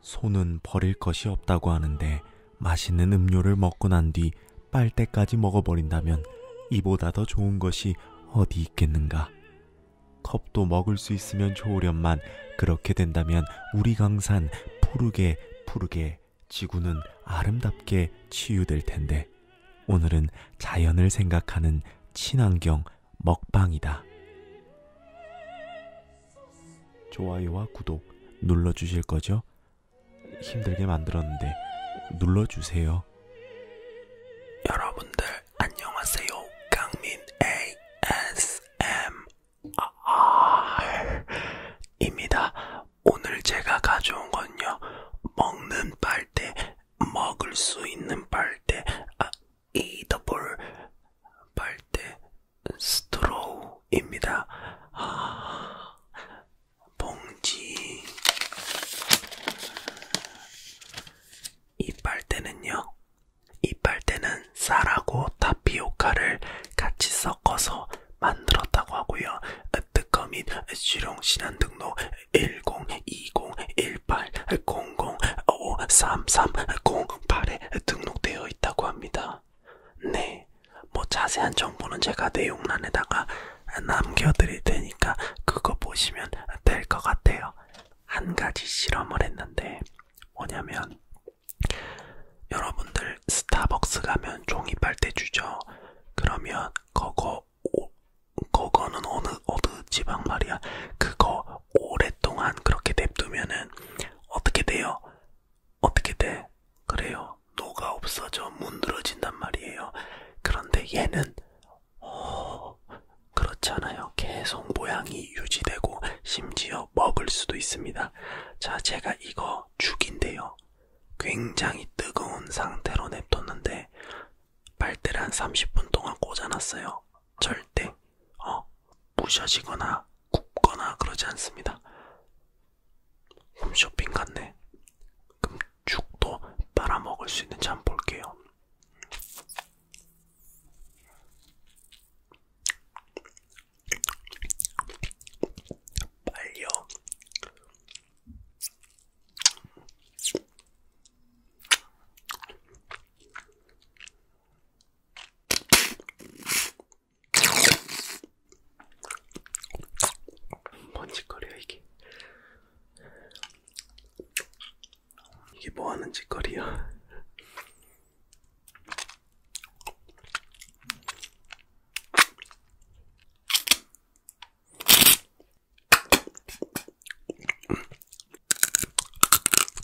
손은 버릴 것이 없다고 하는데 맛있는 음료를 먹고 난 뒤 빨대까지 먹어버린다면 이보다 더 좋은 것이 어디 있겠는가. 컵도 먹을 수 있으면 좋으련만 그렇게 된다면 우리 강산 푸르게 푸르게 지구는 아름답게 치유될 텐데 오늘은 자연을 생각하는 친환경 먹방이다. 좋아요와 구독 눌러주실 거죠? 힘들게 만들었는데 눌러주세요. 여러분들 안녕하세요. 강민 ASMR입니다. 오늘 제가 가져온 건요. 먹는 빨대, 먹을 수 있는 빨대, 아, 이 더블 빨대 스트로우입니다. 아, 봉지. 이 빨대는요. 이 빨대는 쌀하고 타피오카를 같이 섞어서 만들었다고 하고요. 특허 및 실용 신안 등록 102018 005330 8에 등록되어 있다고 합니다. 네, 뭐 자세한 정보는 제가 내용란에다가 남겨드릴 테니까 그거 보시면 될 것 같아요. 한 가지 실험을 했는데 뭐냐면 여러분들 스타벅스 가면 종이 빨대 주죠. 그러면 그거 오, 그거는 어느 어느 지방 말이야. 그거 오랫동안 그렇게 냅두면은 어떻게 돼요? 어떻게 돼? 그래요. 노가 없어져 문드러진단 말이에요. 그런데 얘는 어, 그렇잖아요. 계속 모양이 유지되고 심지어 먹을 수도 있습니다. 자, 제가 이거 죽인데요. 굉장히 뜨거운 상태로 냅뒀는데 빨대를 한 30분 동안 꽂아놨어요. 절대 어, 부셔지거나 굽거나 그러지 않습니다. 홈쇼핑 같네. 그럼 죽도 빨아먹을 수 있는지 한번 볼게요. 빨려. 뭔짓거리야 이게 이게 뭐하는 짓거리야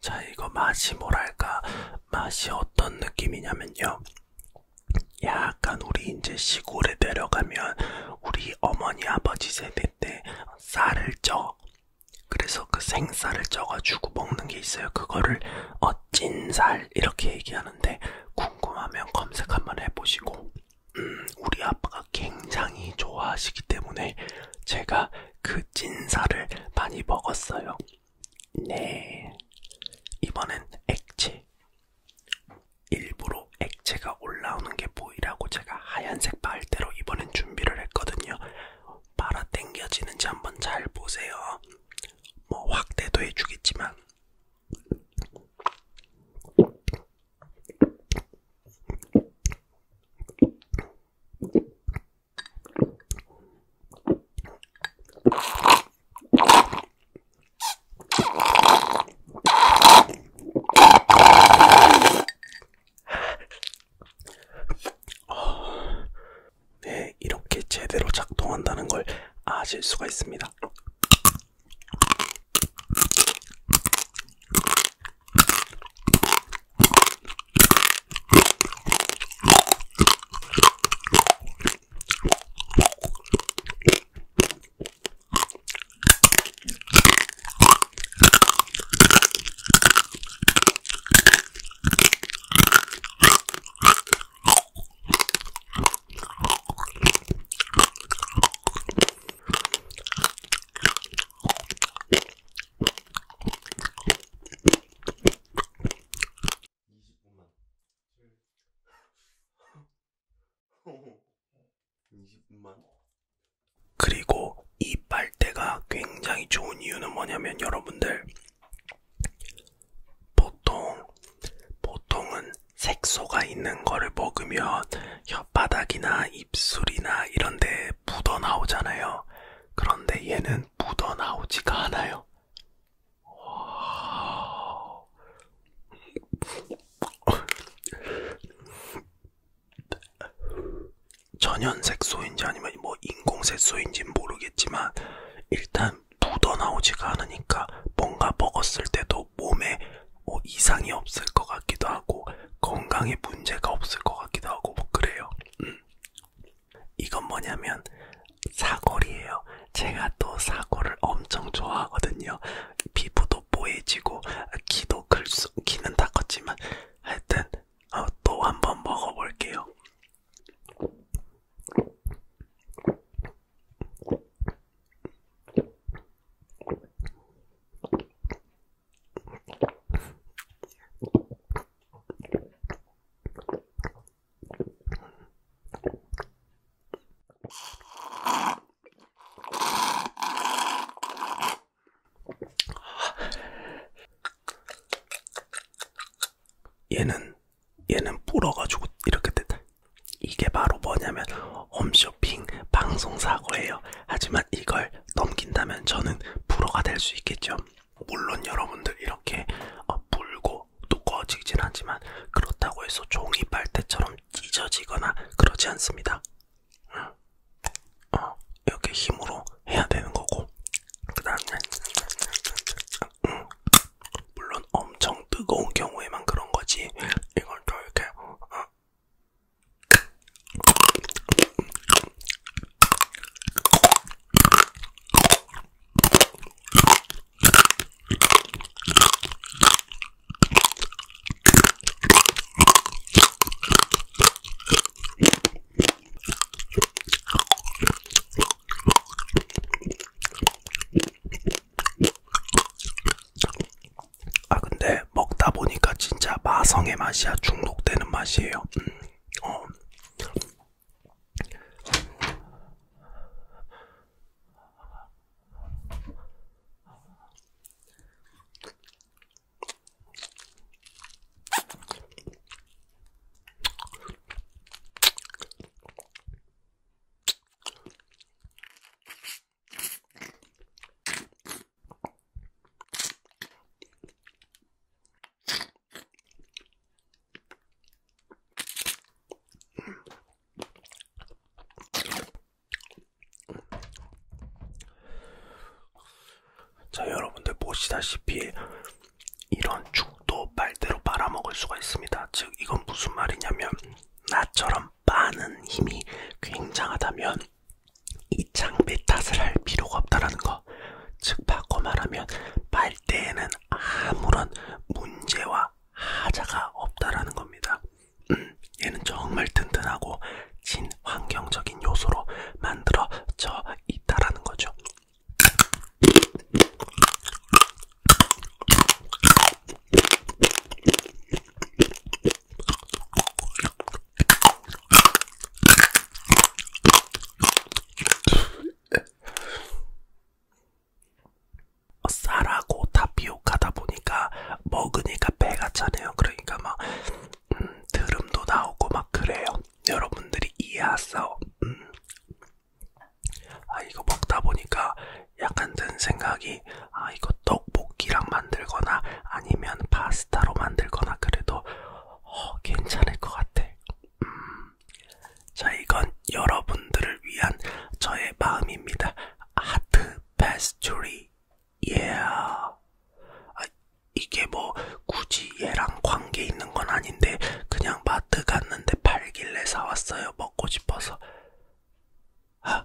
자, 이거 맛이 뭐랄까, 맛이 어떤 느낌이냐면요. 약간 우리 이제 시골에 내려가면 우리 어머니 아버지 세대 때 쌀을 쪄. 그래서 그 생쌀을 쪄가지고 먹는 게 있어요. 그거를 어 찐쌀. 쌀 이렇게 얘기하는데 궁금하면 검색 한번 해보시고 음, 우리 아빠가 굉장히 좋아하시기 때문에 제가 그 찐살을 많이 먹었어요. 네. 이번엔 액체. 일부러 액체가 올라오는 게 보이라고 제가 하얀색 빨대로 이번엔 준비를 했거든요. 빨아 당겨지는지 한번 잘 보세요. 뭐 확대도 해주겠지만 어, 네, 이렇게 제대로 작동한다는 걸 아실 수가 있습니다. 20분만. 20분만. 그리고 이 빨대가 굉장히 좋은 이유는 뭐냐면 여러분들 보통, 보통은 색소가 있는 거를 먹으면 혓바닥이나 입술이나 이런 데 묻어 나오잖아요. 그런데 얘는 묻어 나오지가 않아요. 천연색소인지 아니면 뭐 인공색소인지 모르겠지만 일단 좀 묻어나오지가 않으니까 뭔가 먹었을 때도 몸에 뭐 이상이 없을 것 같기도 하고 건강에 문제가 없을 것 같기도 하고 뭐 그래요. 음. 이건 뭐냐면 사골이에요. 제가 또 사골을 엄청 좋아하거든요. 피부도 뽀얘지고 기도 글수 기는 다 컸지만 하여튼 어, 또 한번 먹어볼게요. 얘는 얘는 불어가지고 이렇게 됐다. 이게 바로 뭐냐면 홈쇼핑 방송사고예요. 하지만 이걸 넘긴다면 저는 불어가 될 수 있겠죠. 물론 여러분들 이렇게 어, 불고 두꺼워지진 않지만 그렇다고 해서 종이 빨대처럼 찢어지거나 그러지 않습니다. 응. 어, 이렇게 힘으로 해야 되는 거고 그 다음에 응. 물론 엄청 뜨거운 경우에만 그런 거지. 이걸 또 이렇게 어. 아 근데 먹다 보니까 진짜 마성의 맛이야 중독되는 맛이에요. 음, 어. 자, 여러분들 보시다시피 이런 죽도 빨대로 빨아먹을 수가 있습니다. 즉 이건 무슨 말이냐면 나처럼 빠는 힘이 굉장하다면 이 장비 탓을 할 필요가 없다라는 거. 즉 바꿔 말하면 빨대에는 아무런 문제와 하자가 없다라는 겁니다. 음, 얘는 정말 튼튼하고 친환경적인 요소로 만들어져 있다라는 거죠. 쌀하고 타피오카다 보니까 먹으니까 배가 차네요. 그러니까 막 음, 드름도 나오고 막 그래요. 여러분들이 이해하세요. 음. 아 이거 먹다 보니까 약간 든 생각이 아 이거 떡볶이랑 만들거나 아니면 파스타로 만들거나 그래도 어, 괜찮을 것 같아. 음. 자 이건 여러분들을 위한 저의 마음입니다. 하트 패스츄리 예. Yeah. 아, 이게 뭐 굳이 얘랑 관계 있는 건 아닌데 그냥 맛 마트 갔는데 팔길래 사왔어요. 먹고 싶어서. 아.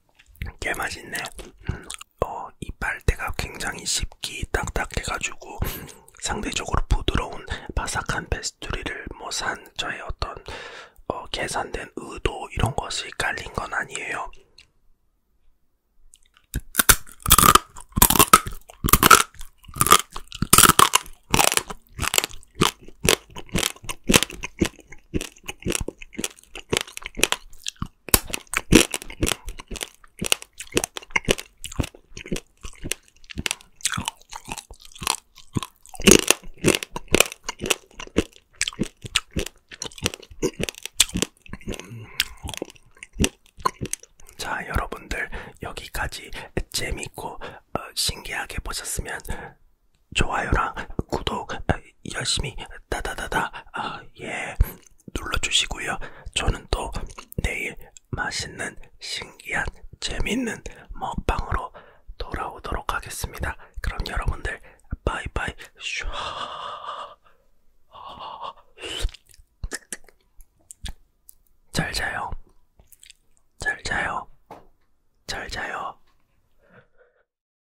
꽤 맛있네. 음, 어, 이빨대가 굉장히 씹기 딱딱해가지고 상대적으로 부드러운 바삭한 페스토리를 뭐 산 저의 어떤 어, 계산된 의도 이런 것이 깔린 건 아니에요. 자, 여러분들 여기까지 재밌고 어, 신기하게 보셨으면 좋아요랑 구독 아, 열심히 따다다다 아, 예 눌러주시고요. 저는 또 내일 맛있는 신기한 재밌는 먹방으로 돌아오도록 하겠습니다. 그럼 여러분들 바이바이 슈아 잘 자요. 잘 자요. 잘 자요.